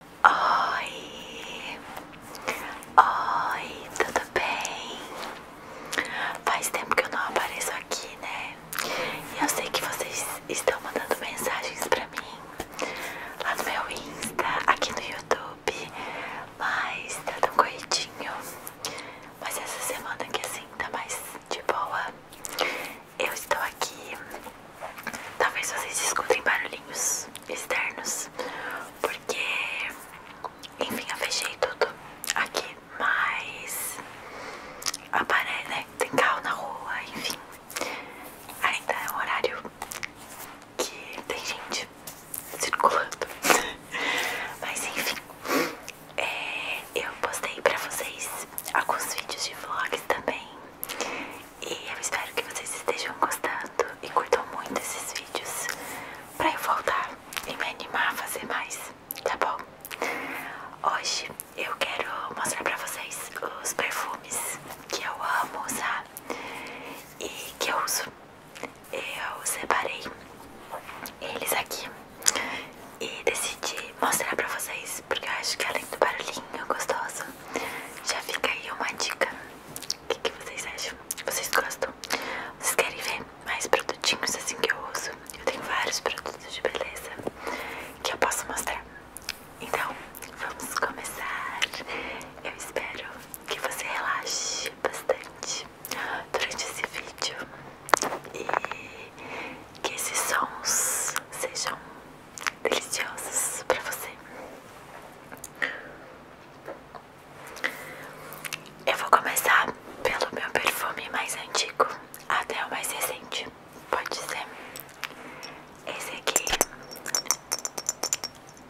Oi! Oi, tudo bem? Faz tempo que eu não apareço aqui, né? eu sei que vocês estão mandando mensagens pra mim lá no meu Insta, aqui no YouTube, mas tá tão corridinho. Mas essa semana que assim tá mais de boa, eu estou aqui Talvez vocês escutem barulhinhos externos, porque, enfim, eu fechei tudo aqui, mas aparece, né, Tem carro na rua, enfim, ainda é um horário que tem gente circulando, mas enfim. É, eu postei pra vocês alguns vídeos de vlog também e eu espero que vocês estejam gostando e curtam muito esses vídeos pra eu voltar e me animar a fazer mais, tá bom? Hoje eu quero mostrar pra vocês os perfumes que eu amo usar e que eu uso. Eu separei eles aqui e decidi mostrar pra vocês porque eu acho que além do barulhinho gostoso já fica aí uma dica. O que, que vocês acham? Vocês gostam? Vocês querem ver mais produtinhos assim que eu uso? Eu tenho vários produtos de beleza que eu posso mostrar. Então, vamos começar. Eu espero que você relaxe bastante durante esse vídeo e que esses sons sejam deliciosas para você. Eu vou começar pelo meu perfume mais antigo até o mais recente. Pode ser esse aqui.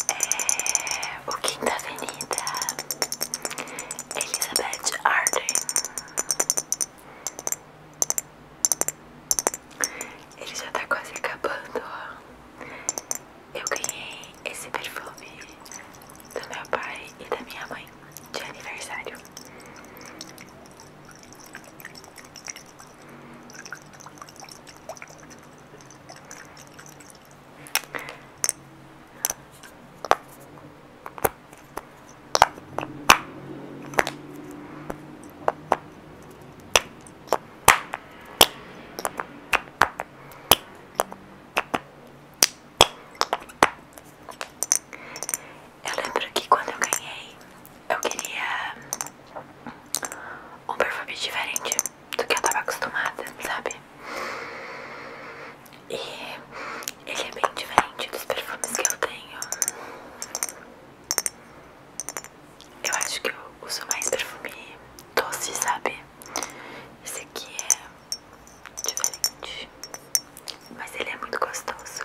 É o Quinta Avenida Elizabeth Arden. Ele já tá quase acabando, ó. Eu ganhei esse perfume do meu pai e da minha mãe de aniversário. Eu lembro que quando eu ganhei, eu queria um perfume diferente do que eu tava acostumada, sabe? E ele é bem diferente dos perfumes que eu tenho. Eu acho que eu uso mais perfume doce, sabe? Esse aqui é diferente, mas ele é muito gostoso.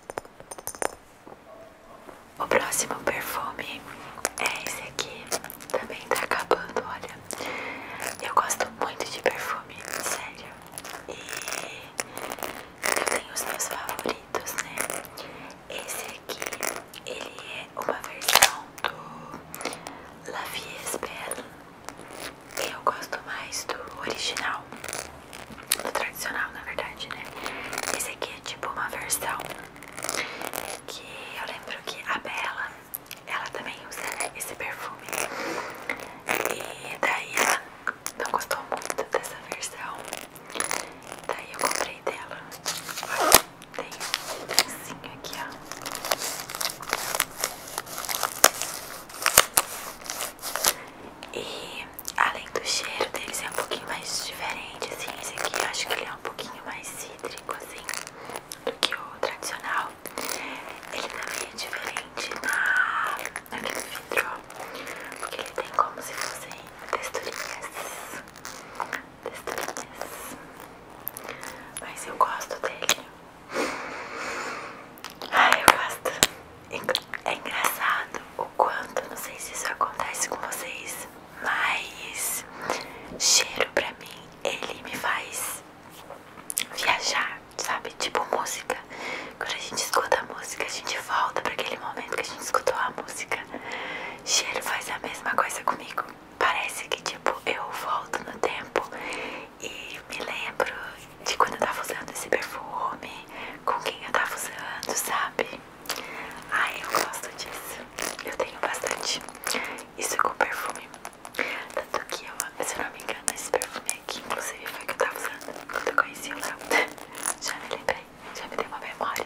O próximo perfume é esse aqui. Também tá acabando, olha. Eu gosto muito de perfume, sério. E eu tenho os meus favoritos, né? Esse aqui, ele é uma versão do La Vie est Belle. Eu gosto mais do original, do tradicional, na verdade, né? Esse aqui é tipo uma versão que eu lembro que a Bela, ela também usa esse perfume. E daí ela não gostou muito dessa versão. Daí eu comprei dela. Tem um pedacinho aqui, ó. E Além do cheiro deles é um pouquinho mais diferente, assim, esse aqui eu acho que ele é um pouquinho mais cítrico, assim, do que o tradicional. Ele também é diferente na, naquele vidro, porque ele tem como se fossem texturinhas, texturinhas, mas eu gosto dele. Ai, eu gosto. É, é engraçado o quanto, não sei se isso acontece com vocês, mas cheiro pra mim, ele me faz viajar, sabe? Tipo música. Quando a gente escuta a música, a gente volta pra aquele momento que a gente escutou a música. Cheiro faz a mesma coisa comigo. Parece que, tipo, eu volto no tempo e me lembro de quando eu tava usando esse perfume, com quem eu tava usando, sabe? Ai, eu gosto disso. Eu tenho bastante. Isso é com perfume. Tanto que eu, se eu não me engano, esse perfume aqui, inclusive, foi que eu tava usando quando eu conheci o Léo. Já me lembrei, já me dei uma memória.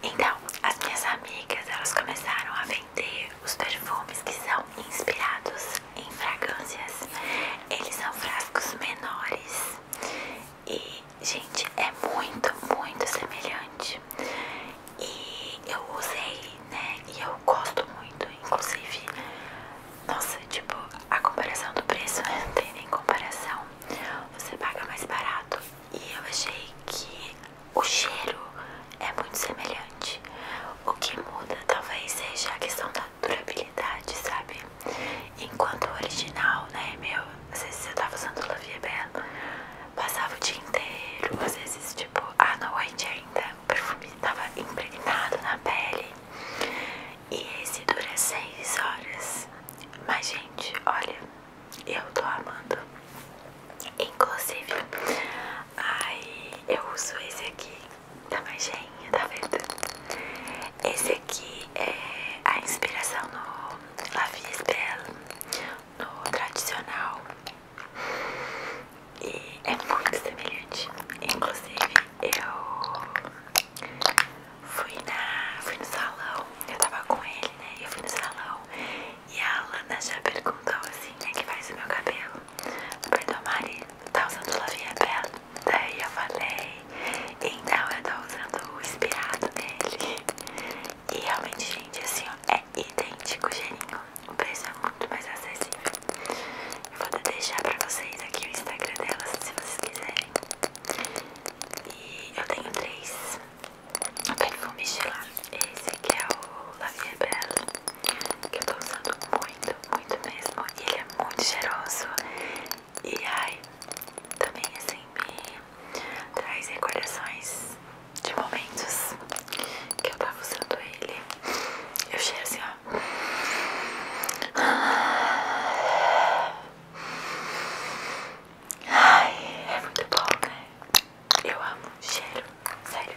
Então, as minhas amigas, elas começaram a vender os perfumes que são inspirados em fragrâncias. Eles são frascos menores e, gente, é muito, muito semelhante. E eu usei, né? E eu gosto muito, inclusive. Nossa, tipo, a comparação do preço né tem nem comparação. Você paga mais barato. E eu achei que o cheiro é muito semelhante. O que muda talvez seja a questão da durabilidade, sabe? Enquanto o original, né, meu, às se eu tava usando La Vie Belle, passava o dia inteiro, às vezes, tipo, à noite ainda, o perfume tava impregnado na pele. E esse dura 6 horas. Mas, gente, olha, eu tô amando. Inclusive, aí eu uso esse aqui da tá manjeinha, tá vendo? Esse aqui é a inspiração no La Vie est no tradicional. E é muito semelhante. Inclusive, eu fui, na, fui no salão, eu tava com ele, né? Eu fui no salão e a Alana já perguntou assim: é que faz o meu cabelo? Perdoa, Mari, tá usando La Vie est Daí é, eu falei, então eu tô usando o inspirado dele. E realmente, gente, assim, ó, é idêntico o gelinho. O preço é muito mais acessível. Eu vou deixar pra vocês aqui o Instagram dela, se vocês quiserem. E eu tenho três vou mexer lá. Esse que é o La Vie Belle, que eu tô usando muito, muito mesmo. E ele é muito cheiroso. E ai, também assim me traz recordações de momentos que eu tava usando ele. Eu cheiro assim, ó. Ai, é muito bom, né? Eu amo cheiro, sério.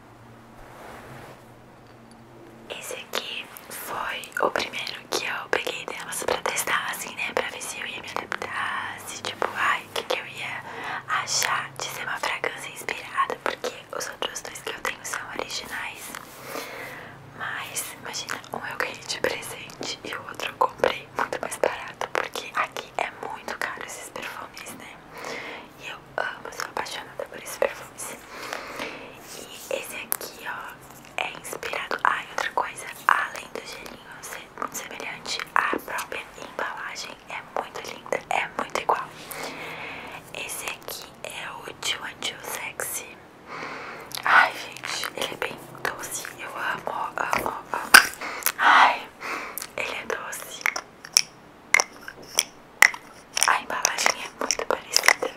Esse aqui foi o primeiro que eu peguei delas pra testar, assim, né? Pra ver se eu ia me adaptar, se tipo, ai, o que, que eu ia achar de ser uma fragrância inspirada, porque os outros dois que eu tenho são originais. Mas, imagina, um eu ganhei de presente e o outro eu comprei muito mais barato, porque aqui é muito caro esses perfumes, né? E eu amo, sou apaixonada por esse perfume E esse aqui, ó, é inspirado. ai outra coisa, além do gelinho ser muito semelhante, a própria embalagem é muito linda, é muito igual. Esse aqui é o Tio Sexy. Ai, gente, ele é bem doce. Eu amo, amo, amo. Ai, ele é doce. A embalagem é muito parecida.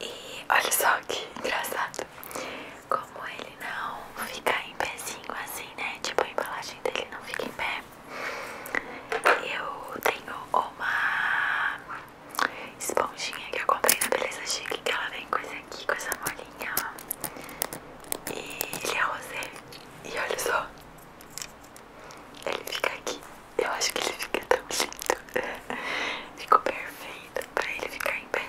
E olha só que engraçado. Como ele não ficar em pezinho assim, né? Tipo, a embalagem dele não fica em pé. Eu tenho uma esponjinha que eu comprei na Beleza Chique, que ela vem com esse aqui, com essa molinha, ó. E ele é rosé. E olha só. Ele fica aqui. Eu acho que ele fica tão lindo. Ficou perfeito pra ele ficar em pezinho.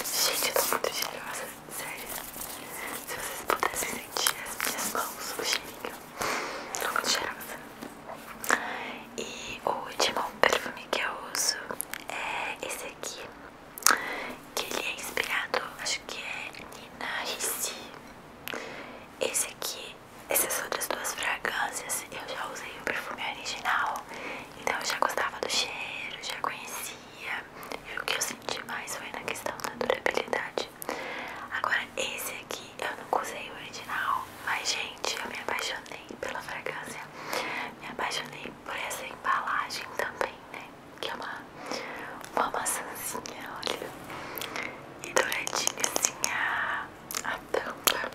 Gente, eu tô muito cheirosa, sério. Se vocês pudessem sentir as minhas mãos, o cheirinho. Tô muito cheirosa. E o último perfume que eu uso é esse aqui. Que ele é inspirado, acho que é Nina Ricci. Esse aqui, essas outras duas fragrâncias, eu já usei o perfume original. Então eu já gostava do cheiro, já conhecia. E o que eu senti mais foi na questão da durabilidade. Agora, esse aqui eu não usei o original, mas gente, eu me apaixonei pela fragrância. Me apaixonei por essa embalagem também, né? Que é uma, uma maçãzinha, olha. E douradinha assim a, a tampa.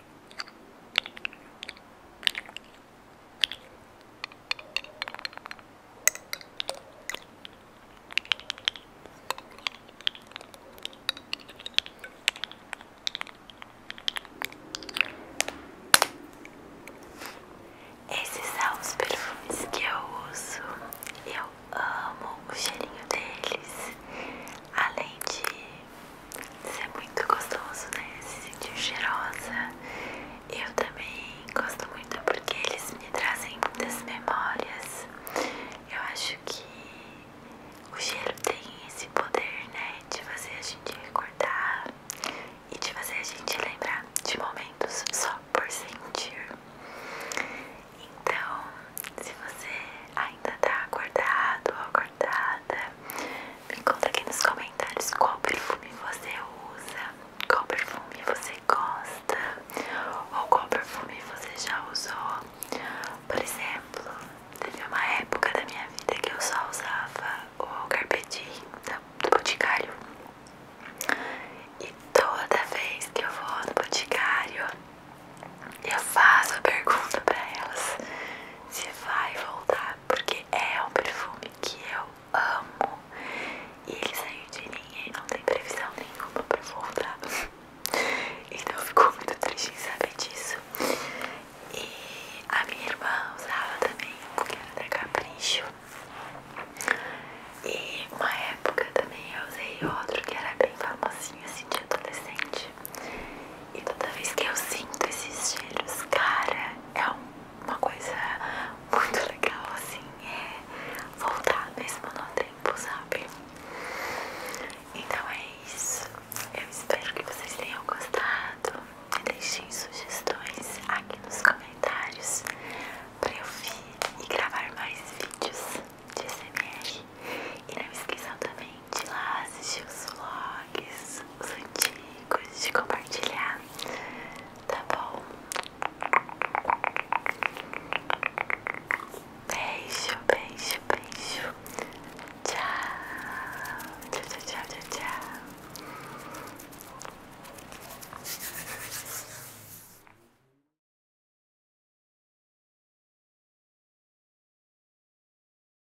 Esses são os perfumes que eu uso. Eu amo o cheirinho deles. Além de isso é muito gostoso, né? Se sentir cheirosa. Eu também gosto muito porque eles me trazem muitas memórias. Eu acho que o cheiro tem esse poder, né? De fazer a gente recordar e de fazer a gente lembrar de momentos só por sentir. Então, se você ainda tá acordado ou acordada, me conta aqui nos comentários qual perfume você usa, qual perfume você gosta, ou qual perfume você já usou. Por exemplo, teve uma época da minha vida que eu só usava o Carpetim do Boticário. E toda vez que eu vou no Boticário, eu faço a pergunta pra elas se vai voltar porque é um perfume que eu amo e ele saiu de ninguém não tem previsão nenhuma pra voltar. Então ficou muito triste em saber disso. E a minha irmã usava também, que era da Capricho. E uma época também eu usei outro que era bem famosinho assim de adolescente. E toda vez que eu sinto esses cheiros, cara, é uma coisa muito legal, assim, é voltar mesmo no tempo, sabe? Então é isso. Eu espero que vocês tenham gostado. Deixem sugestões aqui nos comentários pra eu vir e gravar mais vídeos de SMR. E não esqueçam também de lá assistir os vlogs, os antigos, de compartilhar, tá bom? Beijo, beijo, beijo. tchau, tchau, tchau, tchau. tchau.